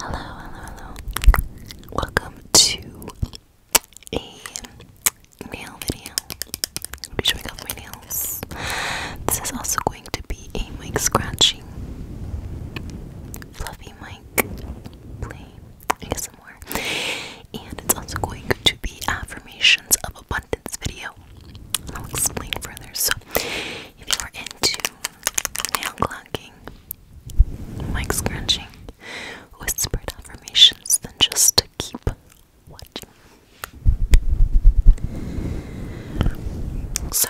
Hello, hello, hello. Welcome to a nail video. I'm gonna my nails. This is also going to be a mic scratching. Fluffy mic play. some more. And it's also going to be affirmations of abundance video. I'll explain further. So if you're into nail clocking, Mike scrunching whispered affirmations than just to keep watching. So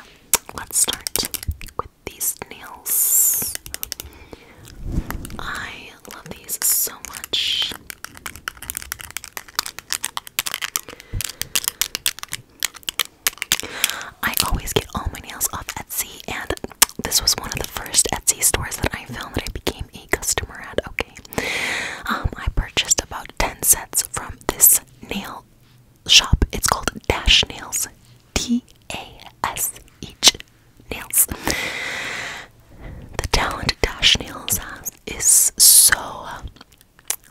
let's start with these nails. I love these so much. I always get all my nails off Etsy, and this was one of the first Etsy stores that I found that I became a customer at. Okay, um, I purchased about 10 sets from this nail shop. It's called Dash Nails, D A S H Nails. The talent Dash Nails has is so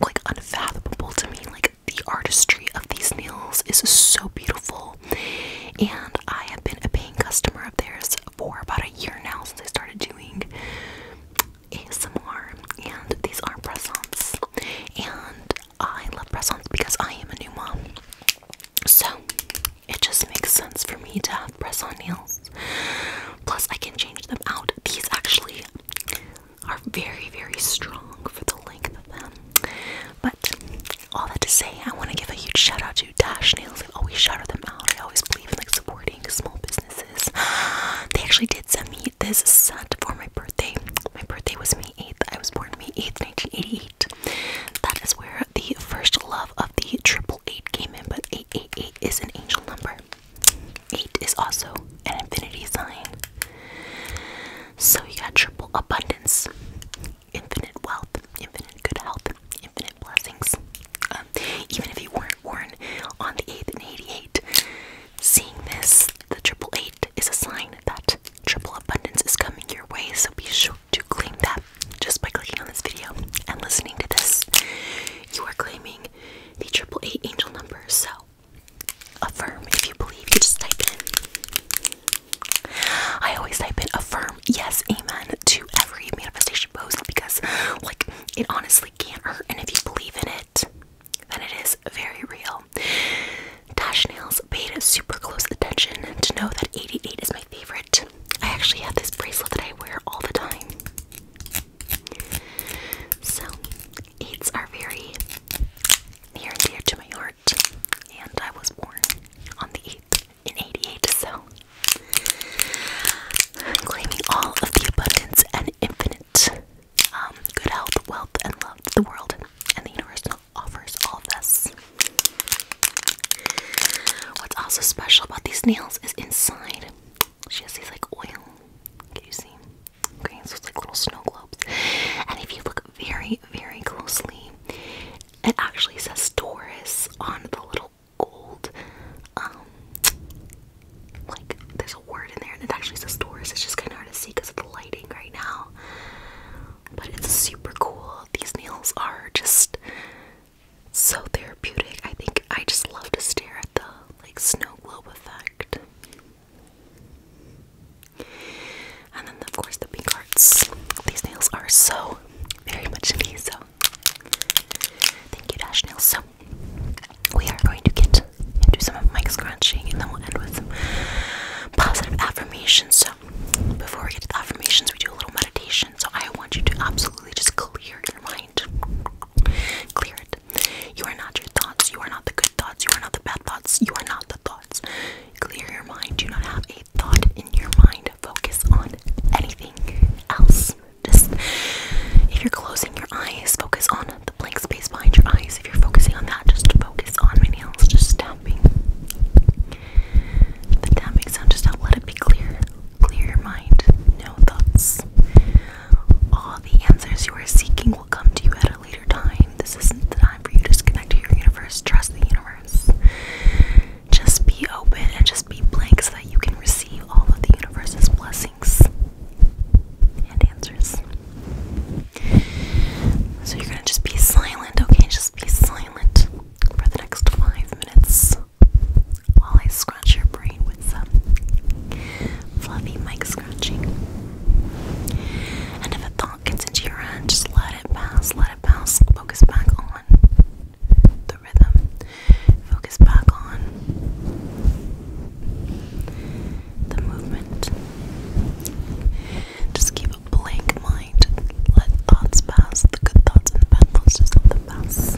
like unfathomable to me. Like the artistry of these nails is so beautiful. And I have been a paying customer of theirs for about a year now since I started doing ASMR. And these are press-ons. And I love press-ons because I am a new mom. So it just makes sense for me to have press-on nails. Plus I can change them out. These actually are very, very strong for the length of them. But all that to say, I want to give a huge shout out to Dash Nails. I always shout them out. I always believe in like supporting small businesses. They actually did send me this set for my birthday. My birthday was May 8th. I was born May 8th, 1988. That is where the first love of the triple eight came in, but 888 is an angel number. Eight is also an infinity sign. So you got triple abundance, infinite wealth, infinite good health, infinite blessings. Um, even if you weren't born on the 8th and 88, seeing this, the triple eight, is a sign that triple abundance is coming your way. So be sure to claim that just by clicking on this video and listening to this. You are claiming the triple eight angel number. So Affirm if you believe. You just type in. I always type in affirm yes, amen to every manifestation post because, like, it honestly can't hurt. And if you believe in it, then it is very real. Dash Nails paid super close attention to know that 88 is my favorite. I actually have this bracelet that I wear all the time. So, eights are very near and dear to my heart, and I was born on the 8th in 88, so claiming all of the abundance and infinite um, good health, wealth, and love the world and the universe offers all of this. What's also special about these nails is inside she has these like oil. Can you see? Okay, so it's like little snow globes. And if you look very, very closely, it actually says Taurus on the little gold. Um, like there's a word in there, and it actually says Taurus. It's just kind of hard to see because of the lighting right now. But it's super cool. These nails are just so therapeutic. I think I just love to stare at the like snow globe effect. And then, of course, the pink hearts. These nails are so very much me, so thank you, Dash Nails. So, we are going to get into some of Mike's scratching and then we'll end with some positive affirmations. So, before we get to the affirmations, we do a little meditation. So, I want you to absolutely just clear your mind, clear it you are not your thoughts. You are not the good thoughts. You are not the bad thoughts. You are not the thoughts. Clear your mind. Do not have a thought in your mind. Focus on anything else. Just if you're closing your eyes, focus on the blank space behind your eyes. If you're focusing on that, just focus on my nails. Just tapping. The tapping sound just out. Let it be clear. Clear your mind. No thoughts. All the answers you are seeking come to you at a later time. This isn't the time for you to disconnect to your universe. Trust the universe. Just be open and just be blank so that you can receive all of the universe's blessings and answers. So you're gonna just be silent, okay? Just be silent for the next five minutes while I scratch your brain with some fluffy mic scratching. And if a thought gets into your head, just let it pass, let it pass, focus back on the rhythm, focus back on the movement. Just keep a blank mind, let thoughts pass, the good thoughts and the bad thoughts, just let them pass.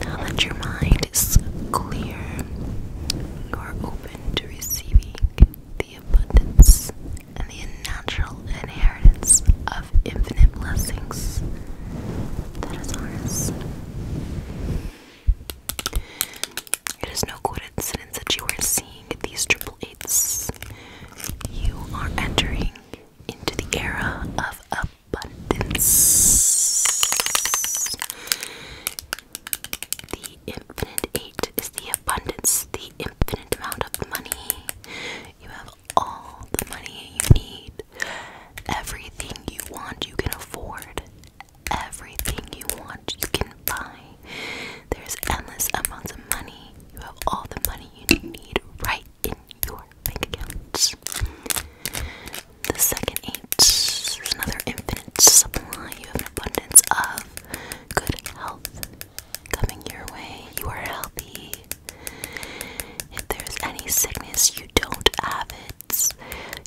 Now that your mind is clear, you are open to receiving the abundance and the natural inheritance of infinite blessings that is ours. It is no coincidence that you are seeing these triple eights. You are entering into the era of abundance. The infinite eight is the abundance, the infinite amount of money. You have all the money you need. Everything you want, you can afford. Everything you want, you can buy. There's endless amounts of money. You have all the money you need right in your bank accounts. The second eight is another infinite supply. You have abundance of good health, coming your way. You are healthy. If there's any sickness, you don't have it.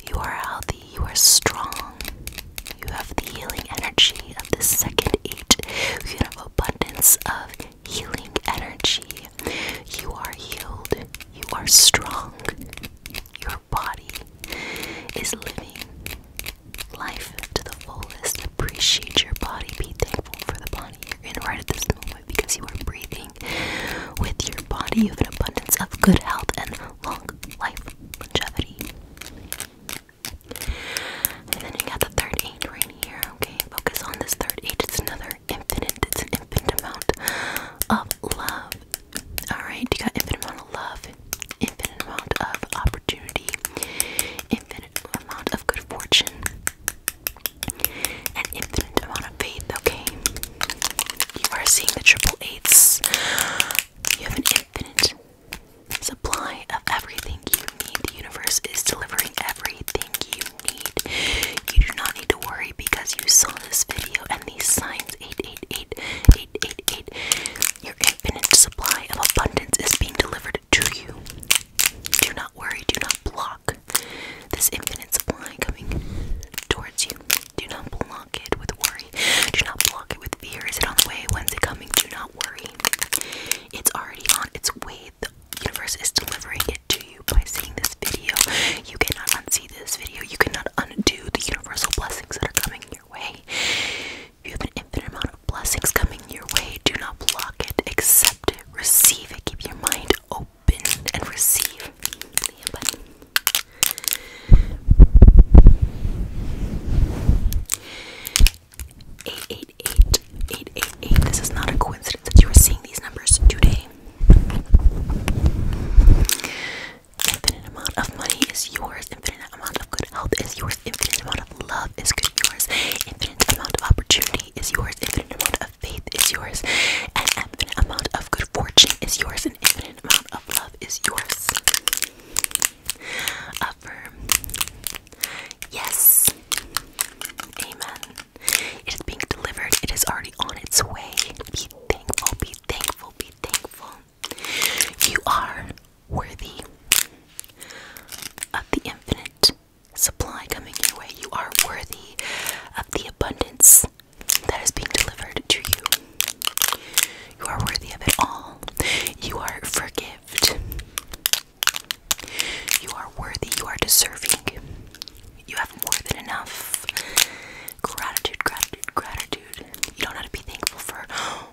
You are healthy. You are strong. You have the healing energy of the second eight. You have abundance of healing energy. You are healed. You are strong. Your body is living life to the fullest. Appreciate your body. Be thankful for the body you're in right at this moment because you are breathing with your body. You have an abundance of good health and long life longevity. And then you got the third eight right here. Okay, focus on this third eight. It's another infinite. It's an infinite amount of love. All right, you got infinite amount of love infinite amount of opportunity, infinite amount of good fortune, and infinite amount of faith, okay? You are seeing the triple eights. You have an infinite supply of everything you need. The universe is delivering everything you need. You do not need to worry because you saw this video and these signs 888 eight, eight, eight. Your infinite supply of abundance is being delivered to you. Do not worry, do not block this infinite supply coming towards you. Do not block it with worry. Do not block it with fear. Is it on the way? When's it coming? Do not worry. It's already on its way. The universe is delivering it to you by seeing this video. You cannot unsee this video. You cannot undo the universal blessings that are coming your way. You have an infinite amount of blessings coming your way. Do not block it, accept it, receive it. Keep your mind open and receive. Eight, eight, eight, eight, eight, eight. This is not a coincidence that you are seeing these numbers today. Infinite amount of money is yours. Infinite amount of good health is yours. Infinite amount of love is good yours. Infinite amount of opportunity is yours. Infinite amount of faith is yours. An infinite amount of good fortune is yours. An infinite amount of love is yours. Affirm. Yes. Amen. It is being delivered. It is already on its way. Be thankful. Be thankful. Be thankful. You are worthy of the infinite supply coming your way. You are worthy of the abundance that is being delivered to you. You are worthy of it all. You are forgived. You are worthy. You are deserving. You have more than enough. Gratitude, gratitude, gratitude. You don't have to be thankful for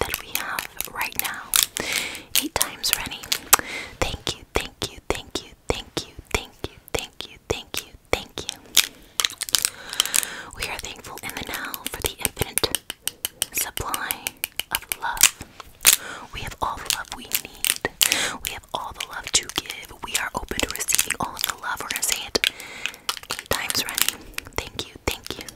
that we have right now. Eight times running. Thank you, thank you, thank you, thank you, thank you, thank you, thank you, thank you. We are thankful in the now for the infinite supply of love. We have all the love we need. We have all the love to give. We are open to receiving all the love. We're gonna say it eight times running. Thank you, thank you,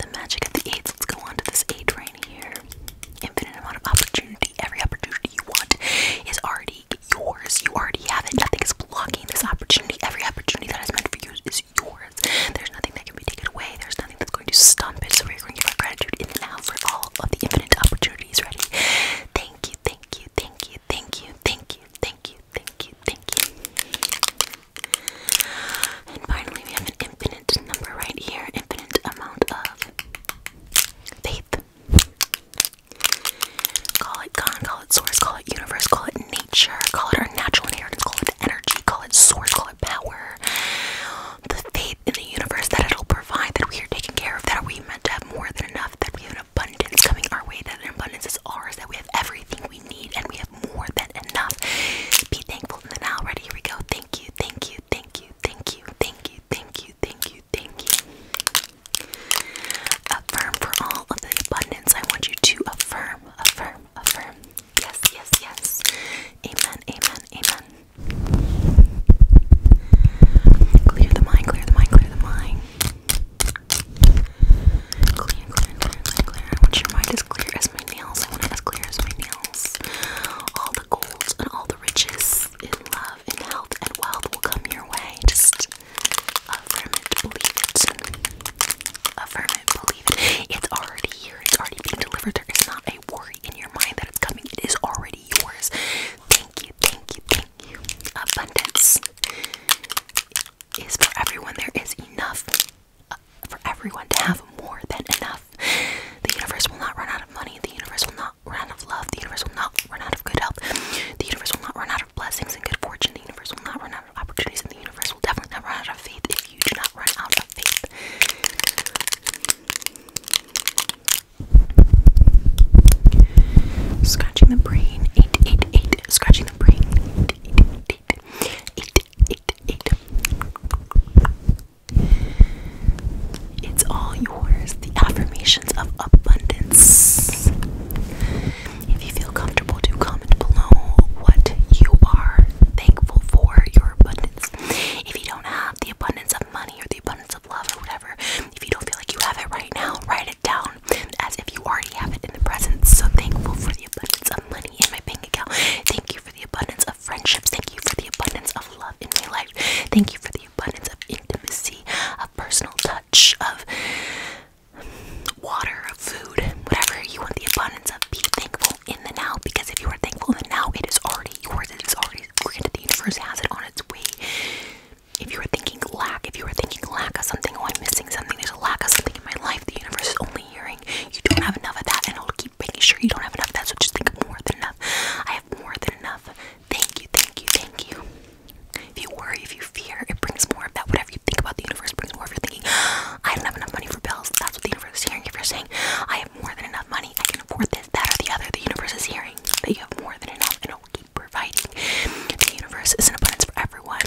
The magic of the eights. Let's go on to this eight right here. Infinite amount of opportunity. Every opportunity you want is already yours. You already have it. Nothing is blocking this opportunity. Every opportunity that is meant for you is yours. There's nothing that can be taken away. There's nothing that's going to stump it. So we're going to give our gratitude in and out for all of the infinite opportunities. Ready? Thank you, thank you, thank you, thank you, thank you, thank you, thank you, thank you. And finally, we have an infinite number right here, infinite amount of faith. Call it God, call it source, call it universe, call it nature, call it our natural inheritance, call it energy, call it source, call it power. The faith in the universe that it'll provide, that we are taken care of, that we are meant to have more than enough, that we have an abundance coming our way, that an abundance is ours, that we have everything we we need, and we have more than enough. Be thankful in now. Ready? Here we go. Thank you, thank you, thank you, thank you, thank you, thank you, thank you, thank you. Affirm for all of the abundance. I want you to affirm, affirm, affirm. Yes, yes, yes. Amen, amen, amen. Clear the mind, clear the mind, clear the mind. clear, clear, clear. I want your mind as clear as nails. I want it as clear as my nails. All the gold and all the riches in love and health and wealth will come your way. Just affirm it, believe it. Affirm it, believe it. It's already here. It's already being delivered. There is not a worry in your mind that it's coming. It is already yours. Thank you, thank you, thank you. Abundance is for everyone. There is enough for everyone to have more than enough. The universe will not run out of money. The universe will not run out of love. The universe will not run out of good health. The universe will not run out of blessings and good fortune. The universe will not run out of opportunities. And the universe will definitely not run out of faith if you do not run out of faith. Scratching the brain. Eight, eight, eight. Scratching the brain eat, eat. It's all yours. The affirmations of abundance. If you feel comfortable, do comment below what you are thankful for your abundance. If you don't have the abundance of money or the abundance of love or whatever, if you don't feel like you have it right now, write it down as if you already have it in the present. So thankful for the abundance of money money in my bank account. Thank you for the abundance of friendships. Thank you for the abundance of love in my life. Thank you for the abundance of intimacy, of personal touch, of water, of food, whatever you want the abundance of. Be thankful in the now because if you are thankful in the now, it is already yours. It is already granted. The universe has it on its way. If you are thinking lack, if you are thinking lack of something, oh, I'm missing something, there's a lack of something in my life, the universe is only hearing you don't have enough of that, and I'll keep making sure you don't have enough of that. So just think more than enough. I have more than enough. Thank you, thank you, thank you. If you worry, if you fear, it brings more of that. Whatever you think about the universe brings more. If you're thinking, I don't have enough money for bills, that's what the universe is hearing. If you're saying, I have more than enough money, I can afford this, that, or the other, the universe is hearing that you have more than enough, and it will keep providing. The universe is an abundance for everyone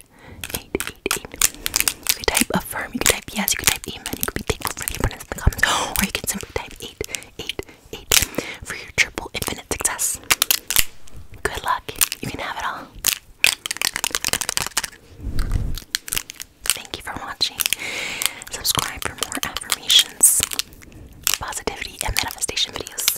eight, eight, eight. You can type affirm, you can type yes, you can type amen, you can be thankful for the abundance in the comments, or you could simply type eight, eight, eight for your triple infinite success. Good luck. You can have it all. Thank you for watching. Subscribe for more affirmations, positivity, and manifestation videos.